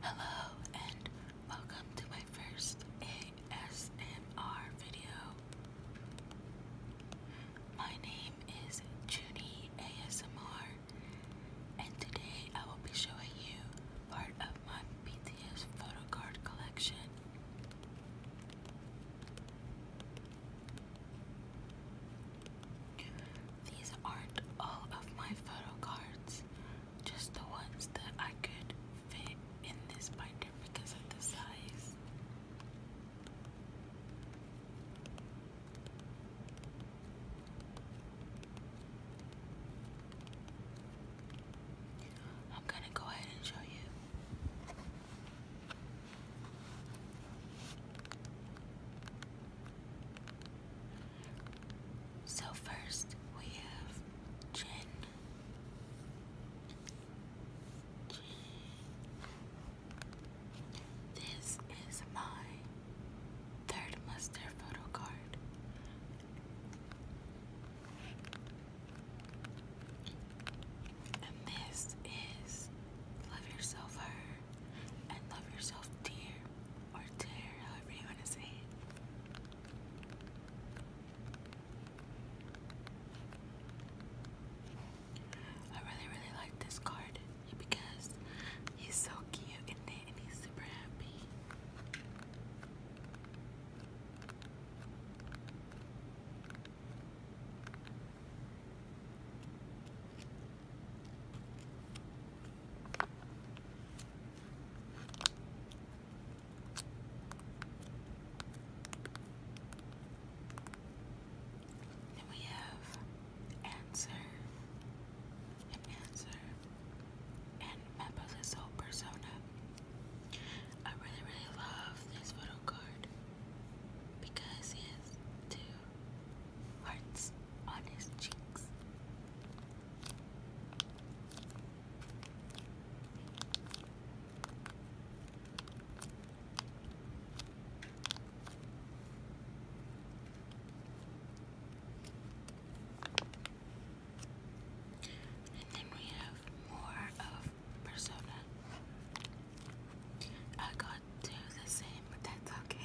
Hello and welcome to my first ASMR video. My name is Junie ASMR and today I will be showing you part of my BTS photo card collection. These aren't all of my photo cards just the ones that I could fit in this binder because of the size. I'm going to go ahead and show you. So first we have gin. This is my third muster photo card. And this is Love Yourself Her and Love Yourself Dear. I really, really like this card because he's so cute and he's super happy. Then we have Answer and Answer and Mapas persona. I really, really love this photo card because he two hearts on his cheeks. And then we have more of Persona. I got two the same, but that's okay.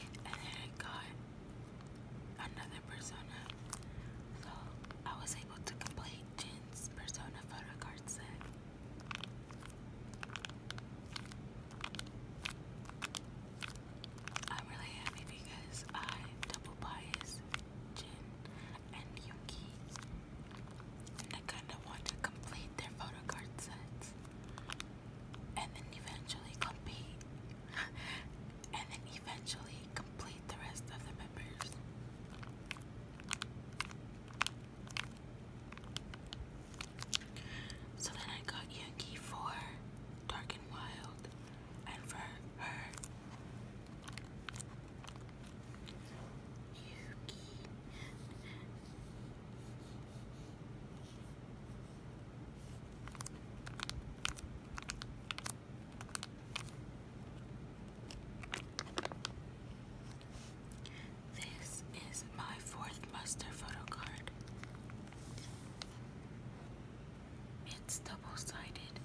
And then I got another persona. So I was able to complete Jin's persona photo card set. I'm really happy because I double bias Jin and Yuki. And I kind of want to complete their photo card sets. And then eventually compete. and then eventually complete the rest of the members. So then I got Yankee for Dark and Wild and for her. This is my fourth muster photo card. It's double-sided.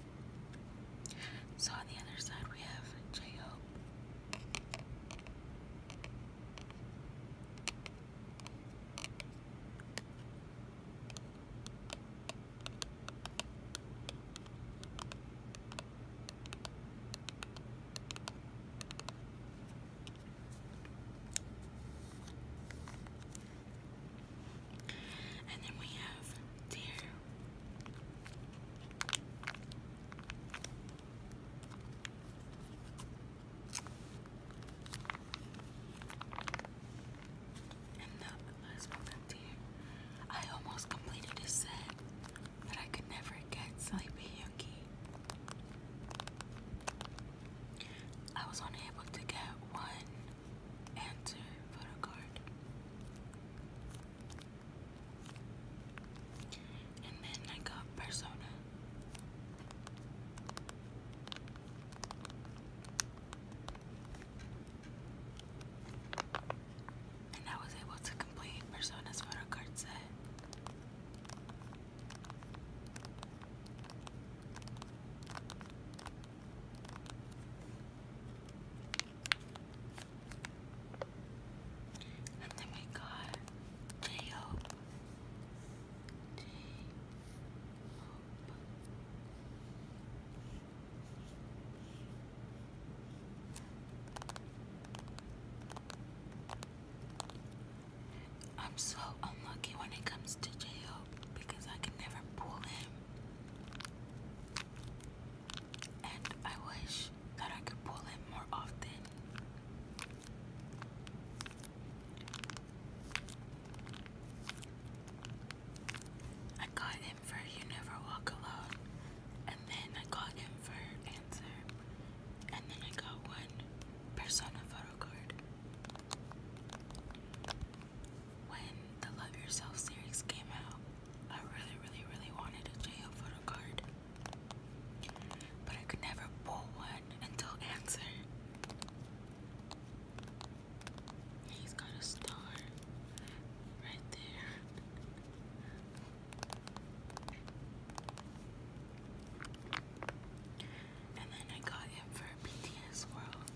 So on the other side we have j and then we have deer. And the last one, deer. I almost completed a set, but I could never get Sleepy Yuki. I was unable to get one Answer photo card. And then I got persona. And I was able to complete Persona's photo card set. And then we got J I'm so unlucky when it comes to J because I can never pull him. And I wish that I could pull him more often. I got him for You Never Walk Alone, and then I got him for Answer, and then I got one Persona photo card. When the Love Yourself series came out, I really, really, really wanted a JL photo card. But I could never pull one until answer. He's got a star right there. And then I got him for BTS World.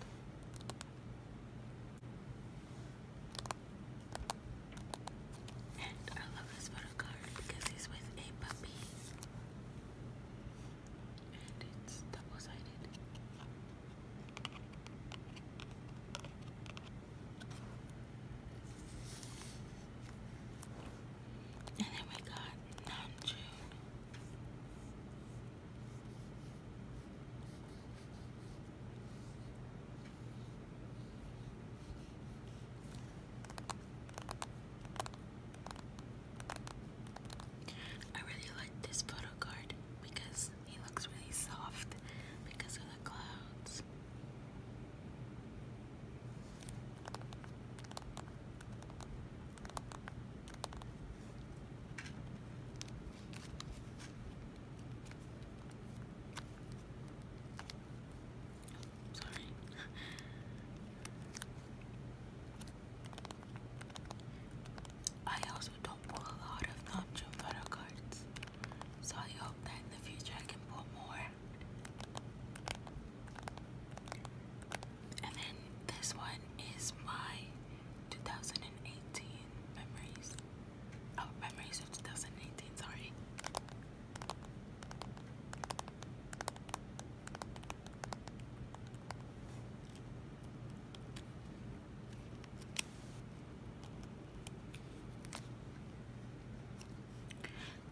And I love this photo card because he's with a puppy. And it's double sided. And then we got Namjoon. I really like this photo card because he looks really soft because of the clouds. Sorry. I also don't pull a lot of Namjoon photo cards, so I hope that in the future I can pull more. And then this one is my 2018 memories. Oh, memories of 2018, sorry.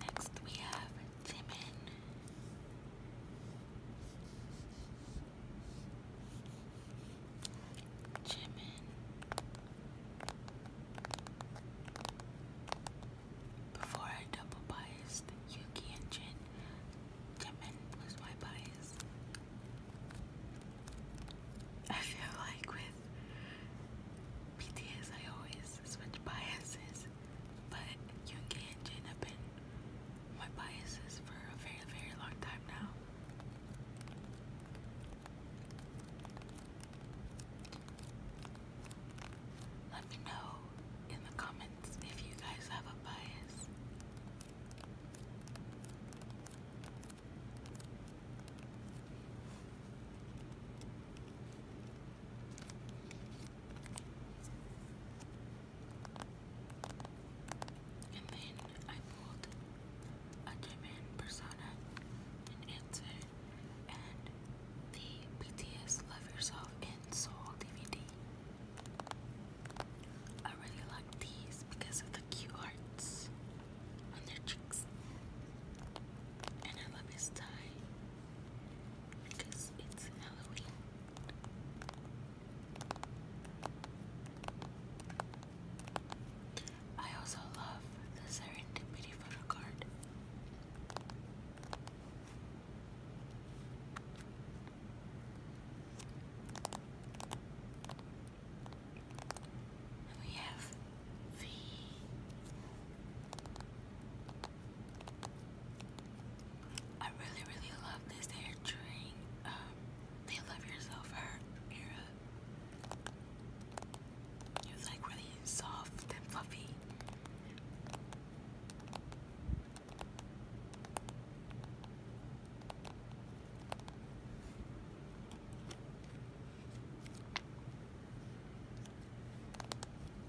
Next we have Jimin. Jimin Before I double biased Yuki and Jin, Jimin was my bias. I feel like with BTS I always switch biases, but Yuki and Jin have been my biases for a very, very long time now. Let me know in the comments if you guys have a bias. And then I pulled a Jimin persona and answer and the BTS Love Yourself in Soul DVD. I really like these because of the cute hearts on their cheeks. And I love his tie because it's Halloween. I also love the serendipity photo card. we have V. I really, really love this hair during um, they love yourself hurt, Era. It was like really soft and fluffy.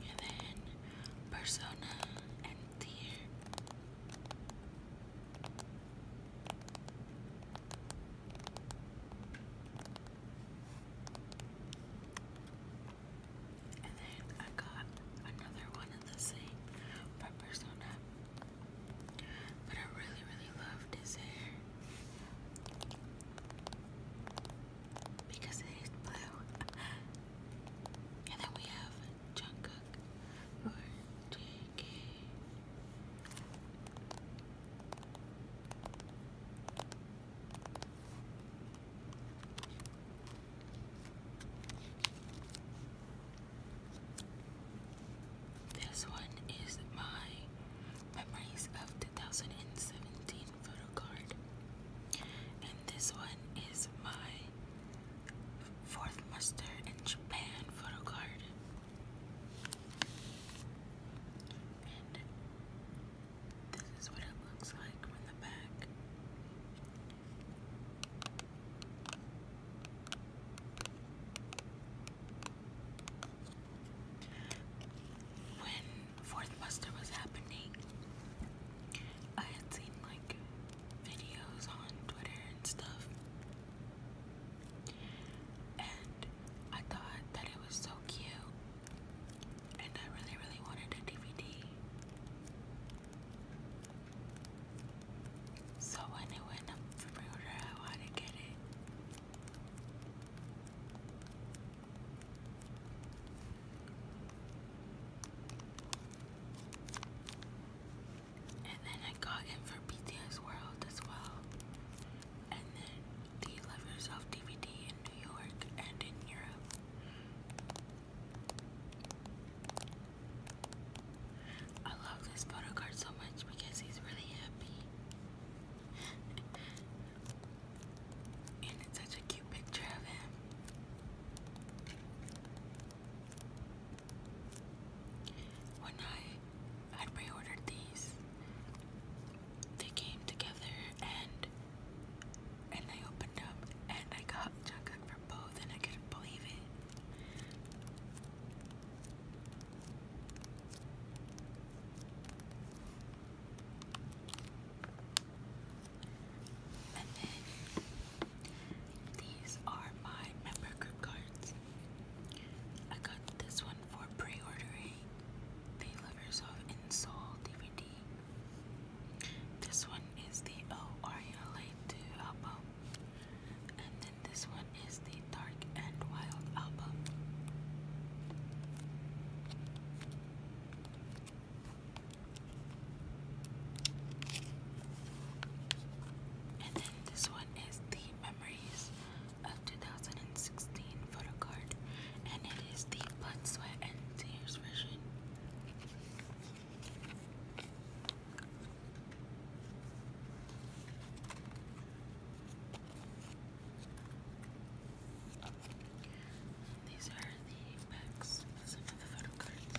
And then Persona and Deer. And then I got another one of the same by Persona. But I really, really loved his hair. Because it is blue. and then we have Junko cook or This one is my memories of 2017 photo card, and this one is my fourth muster in Japan photo card. And this is what it looks like from the back. When Fourth Buster was happening, I had seen like videos on Twitter and stuff and I thought that it was so cute. And I really, really wanted a DVD. So when it went up for pre I wanted to get it. And then I got in for BTS World as well. And then the Love Yourself DVD in New York and in Europe. I love this photo card so much because he's really happy. and it's such a cute picture of him. When I pre-ordered these, they came together and and I opened up and I got chocolate for both and I couldn't believe it. And then these are my member group cards. I got this one for pre-ordering the Lovers of Insoul DVD. This one is the O 2 album. And then this one is the Dark and Wild album. And then this one is the Memories of 2016 photo card, and it is the blood, sweat, and tears version. These are the backs of some of the photo cards.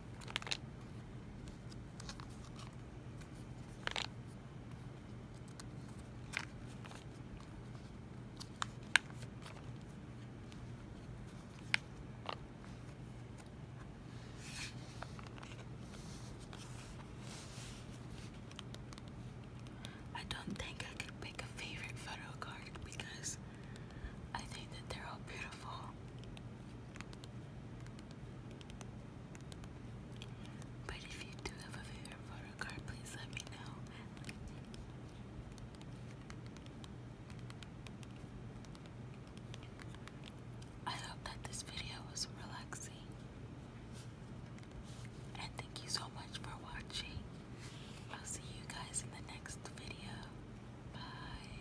I don't think I could pick a favorite photo card because I think that they're all beautiful. But if you do have a favorite photo card, please let me know. I hope that this video was relaxing. And thank you so much for watching. I'll see you guys in the next video. Bye.